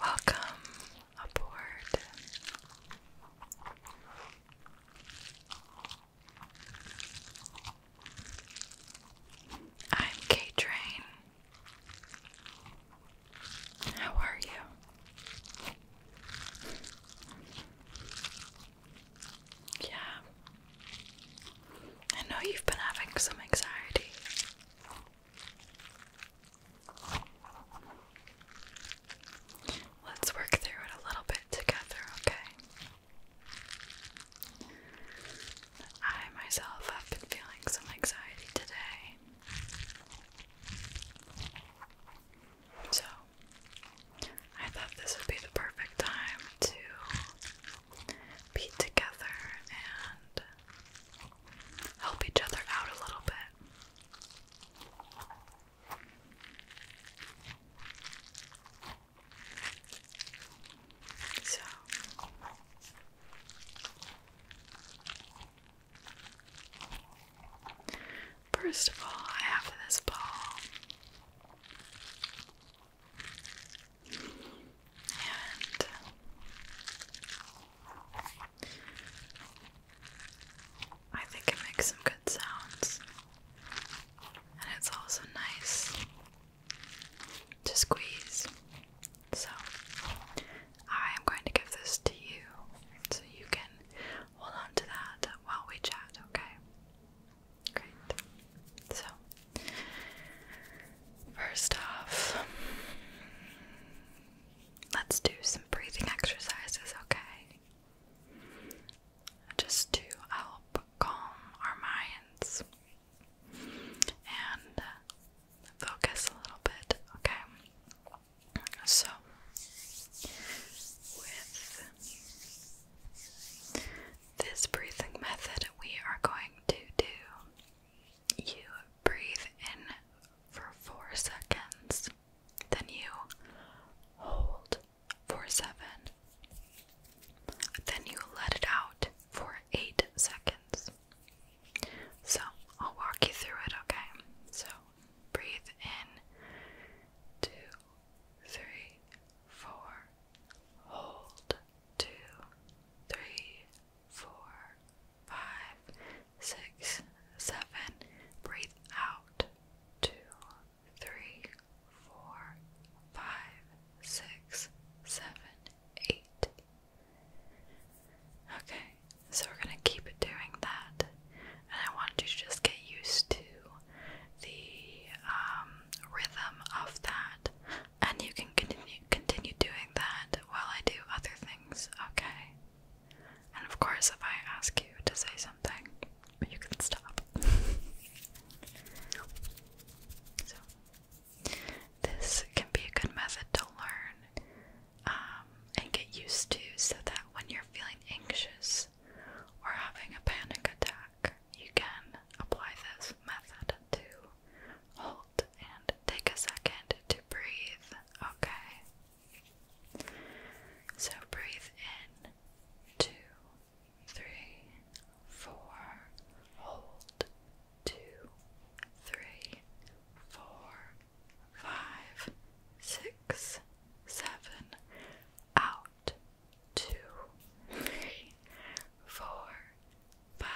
Welcome aboard. i Train. How are you? Yeah. I know you've been having some anxiety. Let's work through it a little bit together, okay? I myself have been feeling some anxiety today. So, I thought this would be the perfect time to be together and help each other out a little bit. So First of all, I have this ball. I think it makes some good sounds. And it's also nice to squeeze. So I am going to give this to you so you can hold on to that while we chat, okay? Great. So, first off, let's do some breathing exercises, okay? Just to help calm our minds and uh, focus a little bit, okay? So, with this breathing method, we are going to do you breathe in for four seconds, then you hold for seven, then you let it out for eight seconds. So I'll walk you through it, okay? So breathe in two, three, four, hold, two, three, four, five, six, seven, breathe out, two, three, four, five, six, seven, eight. Okay, so we're gonna keep doing that, and I want you to just get used to the um, rhythm of that, and you can continue continue doing that while I do other things. Okay. And of course, if I ask you to say something, you can stop. so, this can be a good method to learn um, and get used to so that when you're feeling anxious, or having a panic attack, you can apply this method to halt and take a second to breathe, okay? So breathe in two, three, four, hold two, three, four, five, six, seven, out two, three, four, five,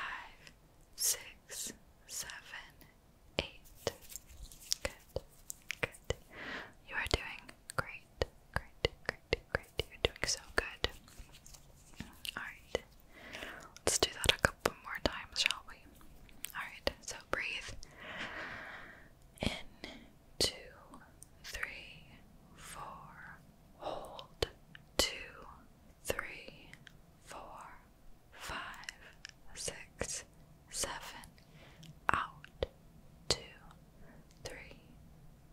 six, seven, eight. Good, good. You are doing great, great, great, great. You're doing so good. Alright, let's do that a couple more times, shall we? Alright, so breathe in two, three, four. Hold two, three, four, five, six, seven. Out two, three,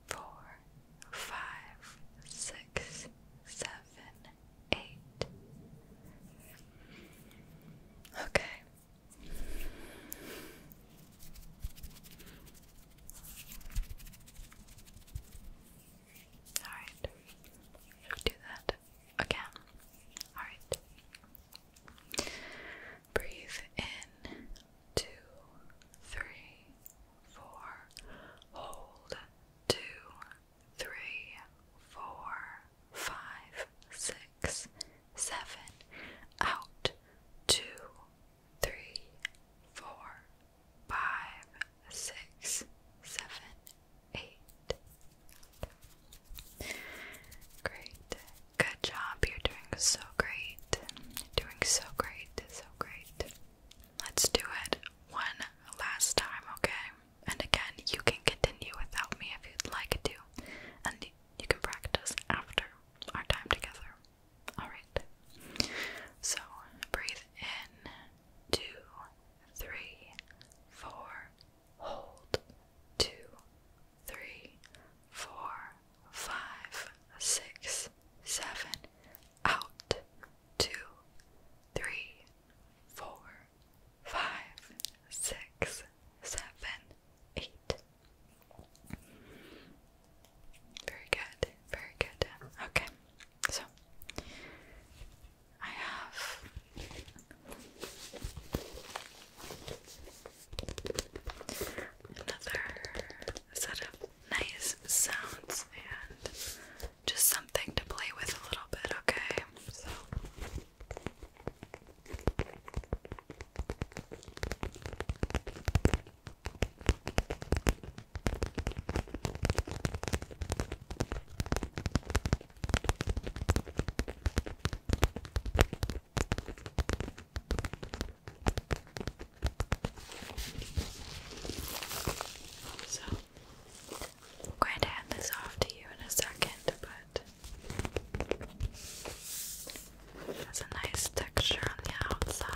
four, five, six, seven, eight. Okay. Alright. We'll do that again. Alright. Breathe in two, three, four. Hold two, three, four, five, six, seven. Out two, three, four, five, six, seven, eight. Great. Good job. You're doing so great. Doing so great. So great. Let's do it one last time, okay? And again, you can continue without me if you'd like to. And you can practice after our time together. Alright. So breathe in two, three, four, hold two, three, four, five, six, seven, out, two, three, four, five, six, seven, eight, very good, very good. Okay, so I have another set of nice sounds and just something to play with a little bit, okay? So. So, I'm going to hand this off to you in a second, but has a nice texture on the outside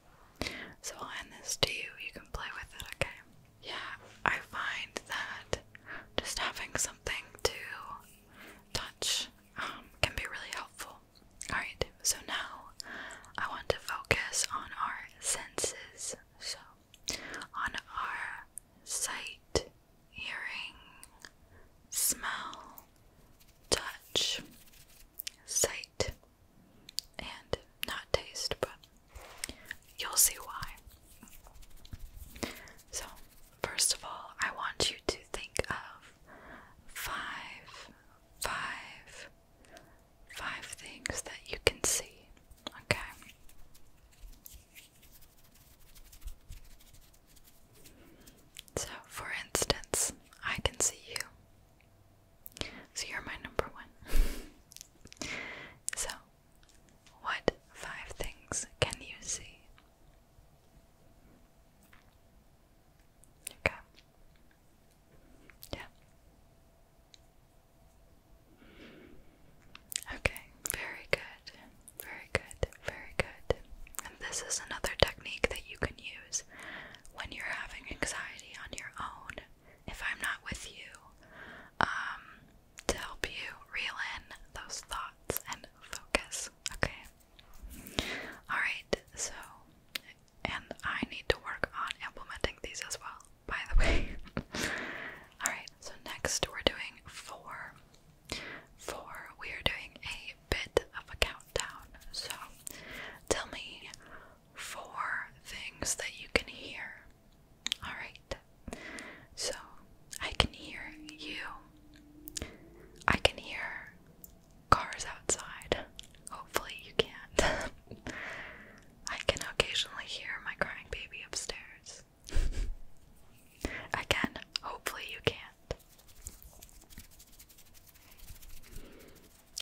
So I'll end this to you. You can play with it, okay? Yeah, I find that just having something to touch um, can be really helpful. Alright, so now I want to focus on our senses. So, on our sight, hearing, smell, touch, sight, and not taste, but you'll see why. So, first of all, I want you to think of five, five, five things that you can see, okay? So, for instance, I can see you. So you're my number one. so, what five things can you see? Okay. Yeah. Okay, very good. Very good. Very good. And this is another technique that you can use when you're having anxiety on your own, if I'm not with you, um, to help you reel in those thoughts and focus. Okay? Alright, so, and I need to work on implementing these as well, by the way. Alright, so next we're doing four. Four, we are doing a bit of a countdown. So, tell me four things that you can hear. Alright, so I can hear you, I can hear cars outside. Hopefully, you can't. I can occasionally hear my crying baby upstairs. Again, hopefully, you can't.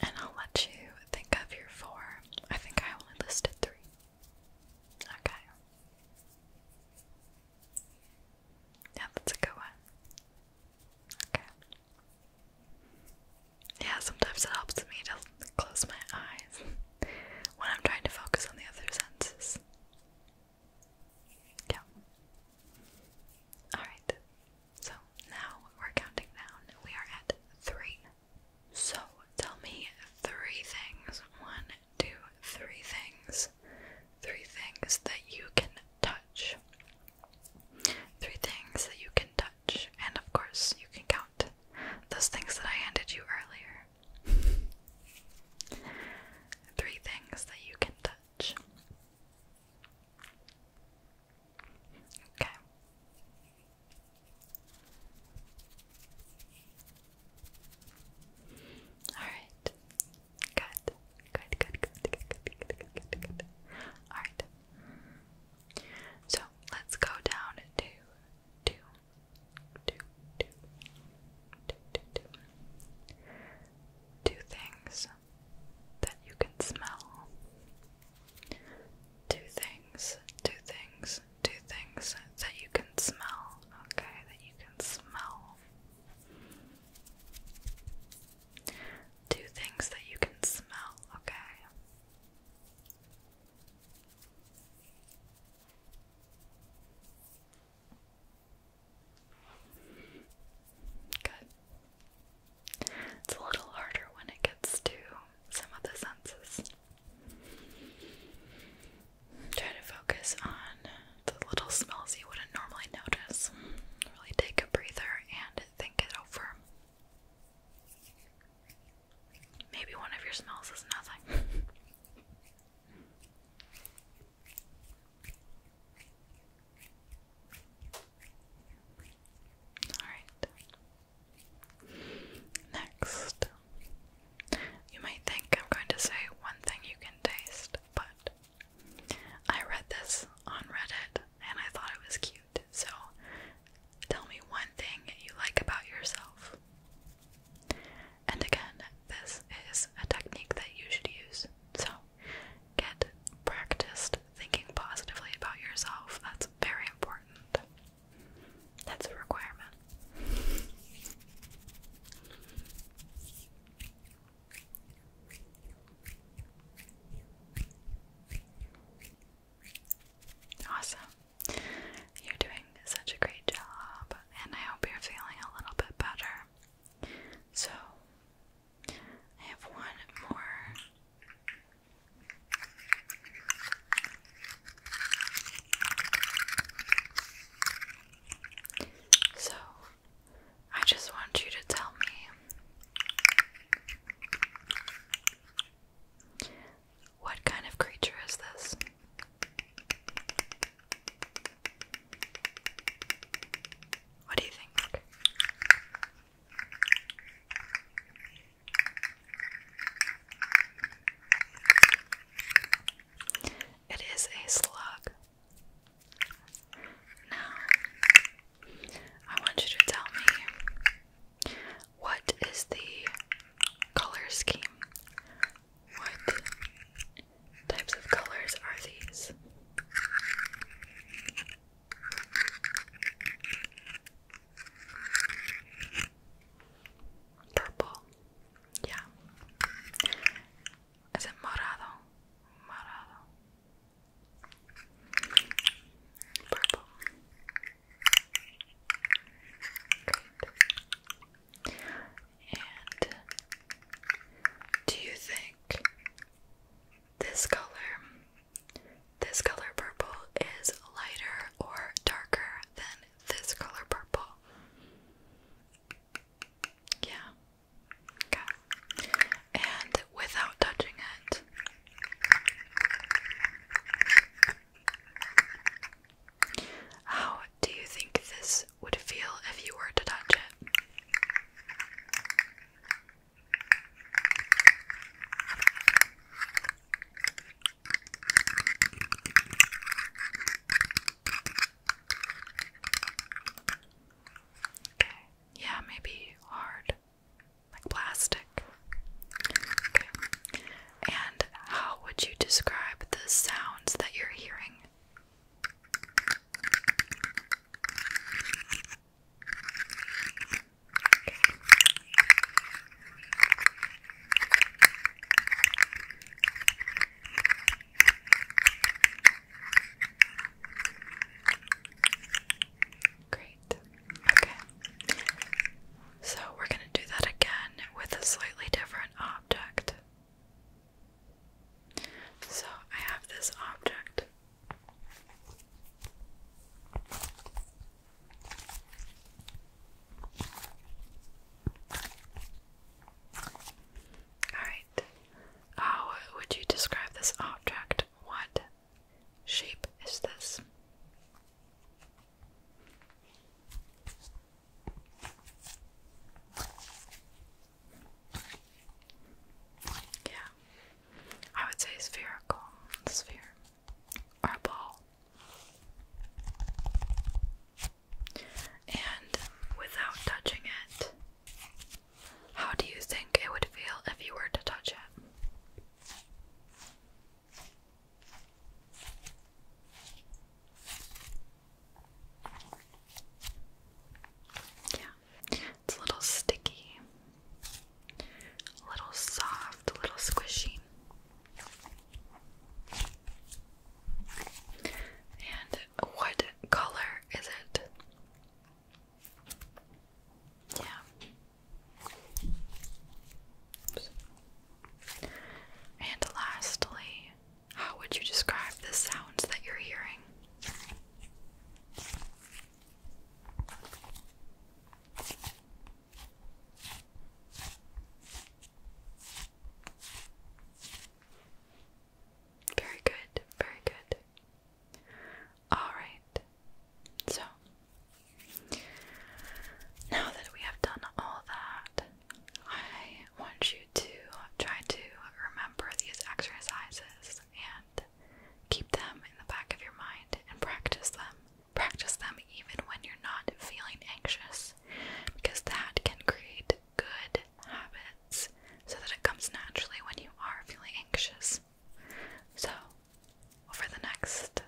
And I'll let you think of your four. I think I only listed three. Okay. Yeah, that's a good one. Okay. Yeah, sometimes it helps me to close my eyes when I'm trying to focus on the other senses. Yeah. Alright. So now we're counting down. We are at three. So tell me three things. One, two, three things. Three things that you can touch. Three things that you can touch. And of course, you can count those things that I handed you earlier. Three things that you can touch. Okay. All right. Good. Good, good, good, good, good, good, good, All right. So let's go down to two, two, two, two, two, two, two things that you can smell. Two things, two things, two things that you can smell, okay? That you can smell. Two things that you can smell, okay? Good. It's a little harder when it gets to some of the senses. Try to focus on the little smells you wouldn't normally notice. Really take a breather and think it over. Maybe one of your smells is nothing. Alright. Next. You might think I'm going to say one thing you can taste, but I read this on Reddit and I thought it was cute. So tell me one thing you like about yourself. And again, this is a technique that you should use. So Get practiced thinking positively about yourself. That's very important. That's a requirement. Awesome. You're doing such a great job, and I hope you're feeling a little bit better. So, I have one more so, I just want you to tell me what kind of creature is this? What do you think? It is a slug. Now, I want you to tell me what is the color scheme? What types of colors are these? Purple. Yeah. Is morado? Morado. Purple. And do you think this color this color purple is lighter or darker than this color purple. Yeah. Okay. And without touching it. How do you think this would feel if you were to touch it? yeah, maybe hard, like plastic. And how would you describe the sounds that you're hearing? Great. Okay. So we're going to do that again with a slightly different object. So I have this object Alright. How would you describe this object? What shape is this? Yeah. I would say spherical sphere or a ball. And without touching it, how do you think it would feel if you were to touch it? Yeah, it's a little sticky, a little soft, a little squishy. And what color is it? Yeah. And lastly, how would you describe the sounds that you're hearing? Very good, very good. Alright, so now that we have done all that, I want you to try to remember these exercises and keep them in the back of your mind and practice them. Practice them even when you're not feeling anxious because that can create good habits so that it comes naturally when you are feeling anxious. So, over the next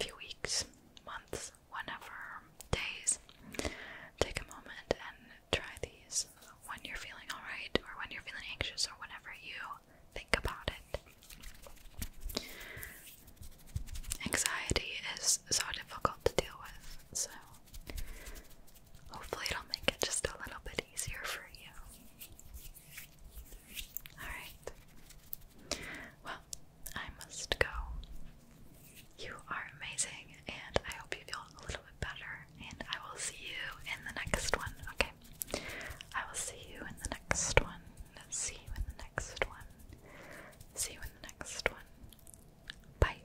few weeks, months, whenever, days, take a moment and try these when you're feeling alright or when you're feeling anxious or whenever you Think about it. Anxiety is so difficult to deal with, so hopefully, it'll make it just a little bit easier for you. Alright. Well, I must go. You are amazing, and I hope you feel a little bit better. And I will see you in the next one, okay? I will see you in the next one. See you in the next one. See you in the next one. Bye.